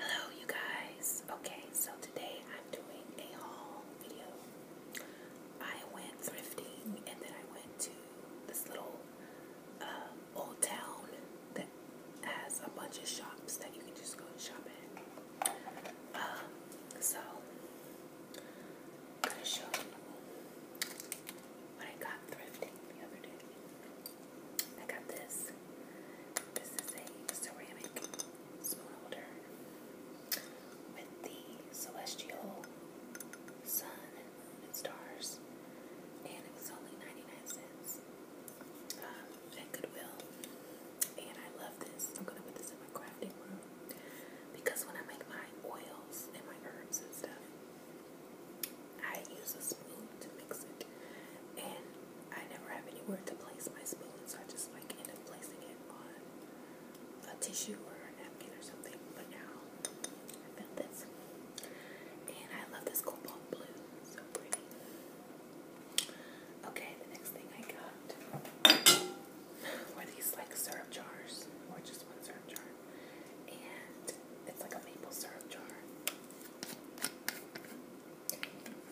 Hello you guys. Okay, so today I'm doing a haul video. I went thrifting and then I went to this little uh, old town that has a bunch of shops that you can just go and shop at. Um, so I'm gonna show you what I got thrifting the other day. I got this. This is a ceramic spoon holder with the celestial sun and stars, and it was only 99 cents um, at Goodwill. And I love this. I'm gonna put this in my crafting room because when I make my oils and my herbs and stuff, I use a spoon to mix it, and I never have anywhere to place my spoon, so I just like end up placing it on a tissue or a napkin or something. But now I found this, and I love this cobalt blue, so pretty. Okay, the next thing I got were these like syrup jars, or just one syrup jar, and it's like a maple syrup jar.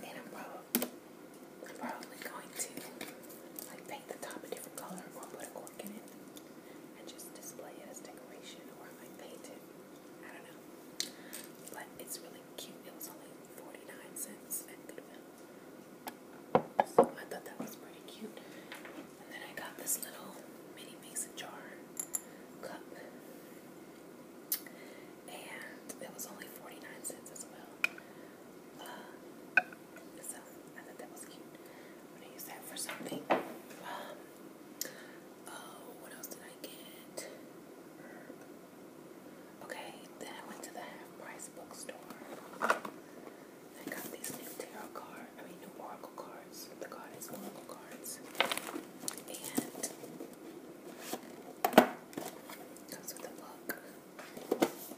And I'm probably, going to like paint the top a different color or put a cork in it and just display it as decoration or I paint it. I don't know. But it's really cute. It was only 49 cents at Goodwill. So I thought that was pretty cute. then I got this little mini mason jar cup and it was only 49 cents as well. Uh, so I thought that was cute. I'm gonna use that for something. Um, oh, what else did I get? Okay, then I went to the half price bookstore. I got these new tarot cards, I mean, new oral oracle cards, the goddess oracle cards, and comes with a book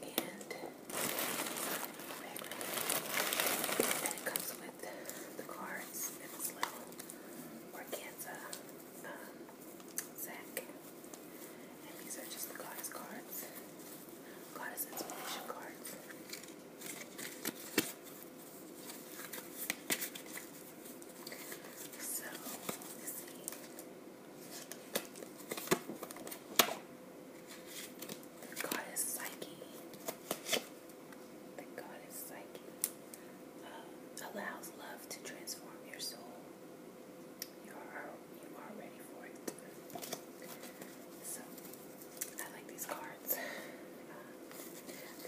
and and it comes with the cards in this little organza um, sack. And these are just the goddess cards, goddess inspiration cards. So, let The goddess Psyche, the goddess Psyche uh, allows love to transform your soul. You are, you are ready for it. So, I like these cards. Uh,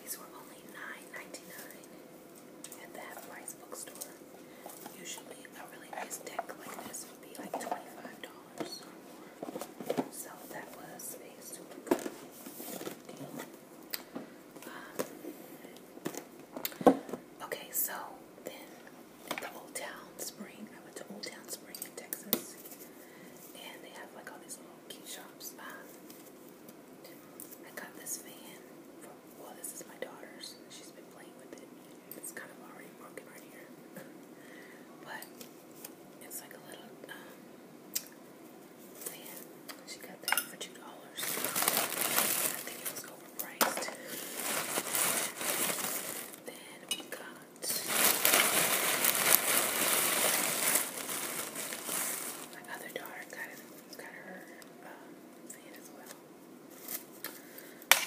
these were only $9.99 at that Price bookstore. Usually a really nice deck like this would be like $25 or more. So that was a super good deal. Um, okay, so then at the Old Town Spring, I went to Old Town Spring in Texas. And they have like all these little key shops. I got this fan. well, this is my daughter's. She's been playing with it. It's kind of already broken right here, but it's like a little um, She got that for two dollars. I think it was overpriced. Then we got my other daughter got, got her um, seed as well. So,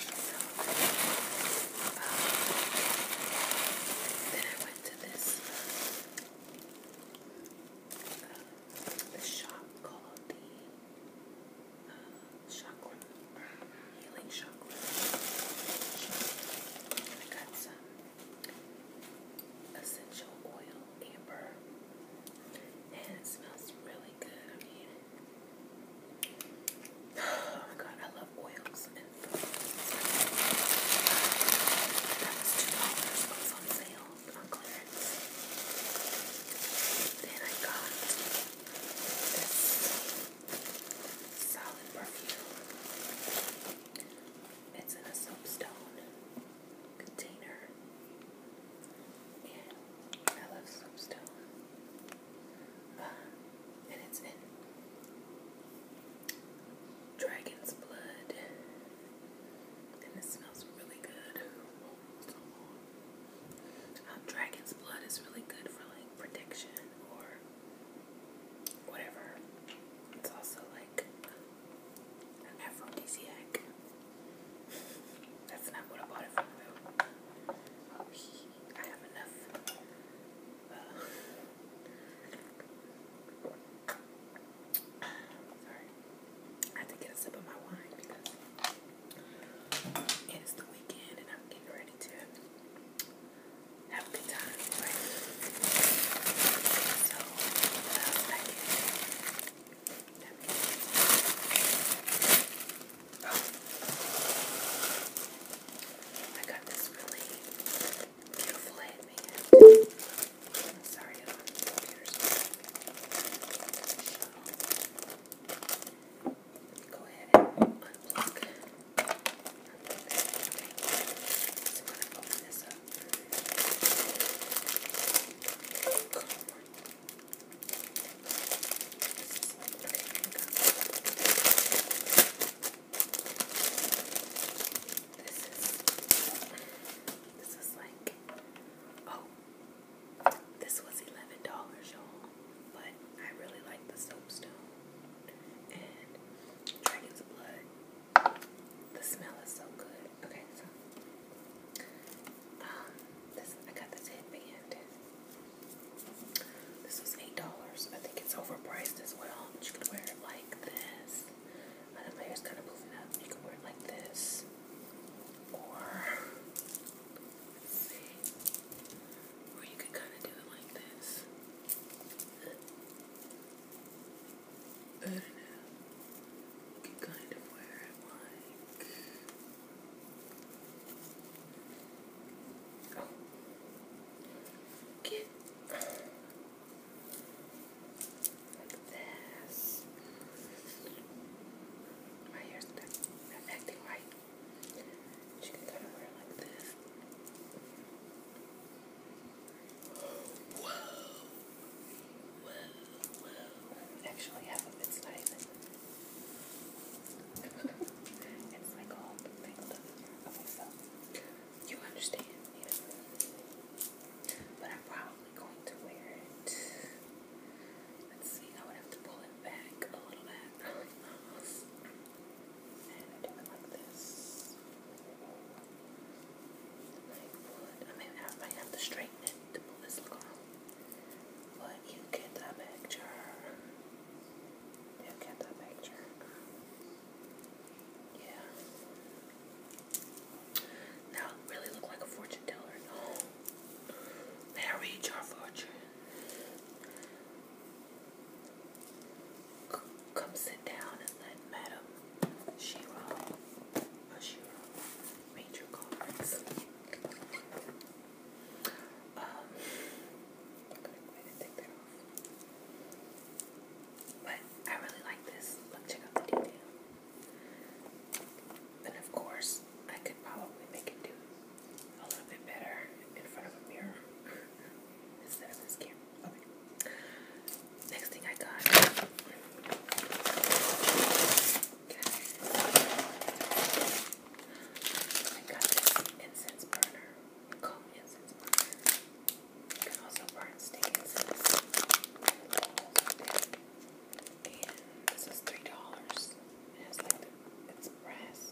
um, then I went to this, uh, this shop called the uh, Chakra, uh, Healing Chakra. I got some essential oil amber, and it smells really good. I mean, oh my god, I love oils and foods. That was two dollars. It was on sale on clearance. Then I got this solid perfume. It's in a soapstone container. And I love soapstone. and it's in dragon's blood. And it smells really good. Uh, dragon's blood is really good for like protection or whatever. It's also like an aphrodisiac. That's not what I bought it from I have enough. sorry. I have to get a sip of my wine because it is the weekend and I'm getting ready to have a good time, So, what else did I get? Let Oh. I got this really beautiful headband. I'm sorry if uh, my computer's Go ahead this up. This is was like oh this was eleven dollars y'all but I really like the soapstone and dragon's blood. The smell is so good. Okay, so um, I got this headband. This was eight dollars. I think it's overpriced as well. you could wear it like this. I know my kind of moving up. You could wear it like this, or see. Or you could kind of do it like this. I don't know. You kind of wear it like. Oh. Get like this. My hair's not acting right. She can kind of wear it like this. Whoa! Whoa, whoa. Actually, half of it's not even. it's like all tangled up here. Okay, so you understand, you But I'm probably going to wear it. Let's see, I would have to pull it back a little bit. And I do it like this. Like I mean, I might have to straighten it to pull this look But you get the picture. You get the picture. Yeah. Now really look like a fortune teller. No. Married your fortune. Come sit down and let Madam Shiro, or Shiro, But I really like this. Look, check out the detail. And of course, I could probably make it do a little bit better in front of a mirror instead of this camera. Next thing I got. I got incense burner. Cold incense burner. You can also burn stick And this is $3. It has like the, it's brass.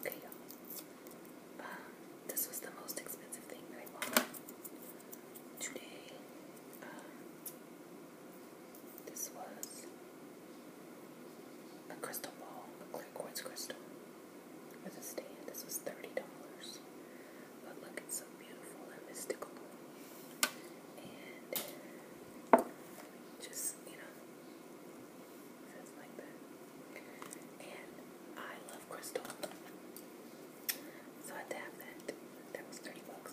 Okay, Um, uh, this was the most expensive thing I bought today. Um, this was a crystal ball, a clear quartz crystal with a stand. This was $30. But look, it's so beautiful and mystical. And just, you know, Says like that. And I love crystal. So I had to have that. That was 30 bucks.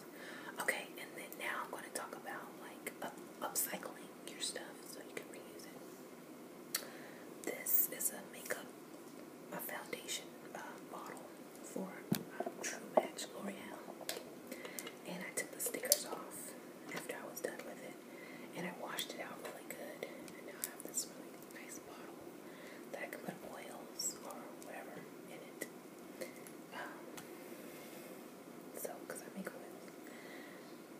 Okay, and then now I'm going to talk about like upcycling your stuff so you can reuse it. This is a makeup, a foundation uh, bottle for uh, True Match L'Oreal. And I took the stickers off after I was done with it. And I washed it out really good. And now have this really nice bottle that I can put oils or whatever in it. Um, so, because I make oils.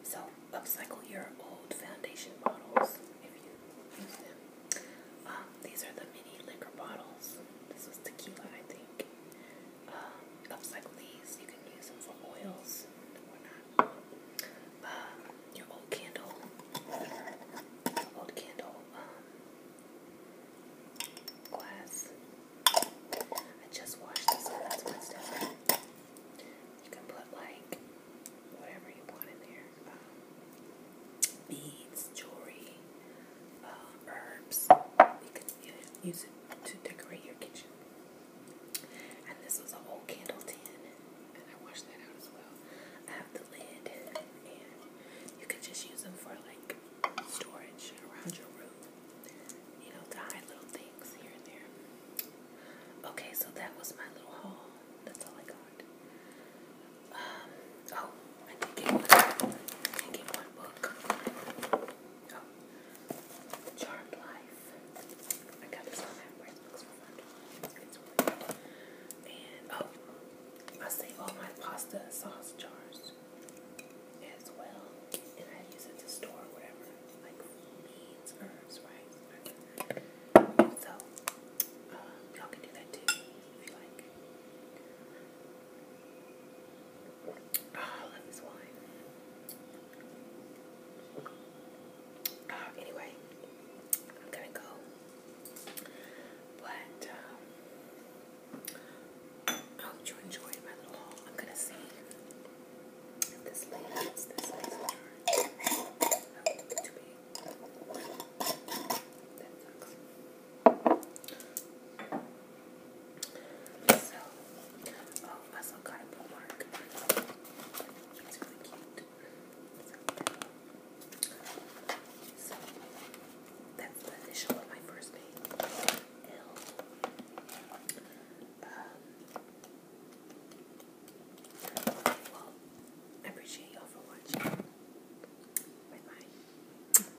So, upcycle your old foundation bottles if you use them. Um, these are the mini liquor bottles. This was tequila, I think um, these. You can use them for oils um, your old candle, old candle um, glass. I just washed this one. That's Wednesday. You can put like whatever you want in there. Um, beads, jewelry, herbs use it to decorate your kitchen. And this was a whole candle tin, and I washed that out as well. I have the lid, and you can just use them for like storage around your room, you know, to hide little things here and there. Okay, so that was my little haul. That's all I got. Um, oh, I did I did one book. Oh, Charmed Life. I got this on AdWords books for $5. And, oh, I save all my pasta sauce jars as well. And I use it to store whatever, like beans, herbs, rice, So, uh, y'all can do that too if you like. Oh, let me swallow. Uh, anyway, I'm gonna go. But um, oh, I hope you enjoyed my little haul. I'm gonna see if this lady this makes a jar. Oh, that looks so, oh, I also got a bookmark. It's really cute. So, that's the initial of my first name. L. Um, well, I appreciate y'all for watching. bye.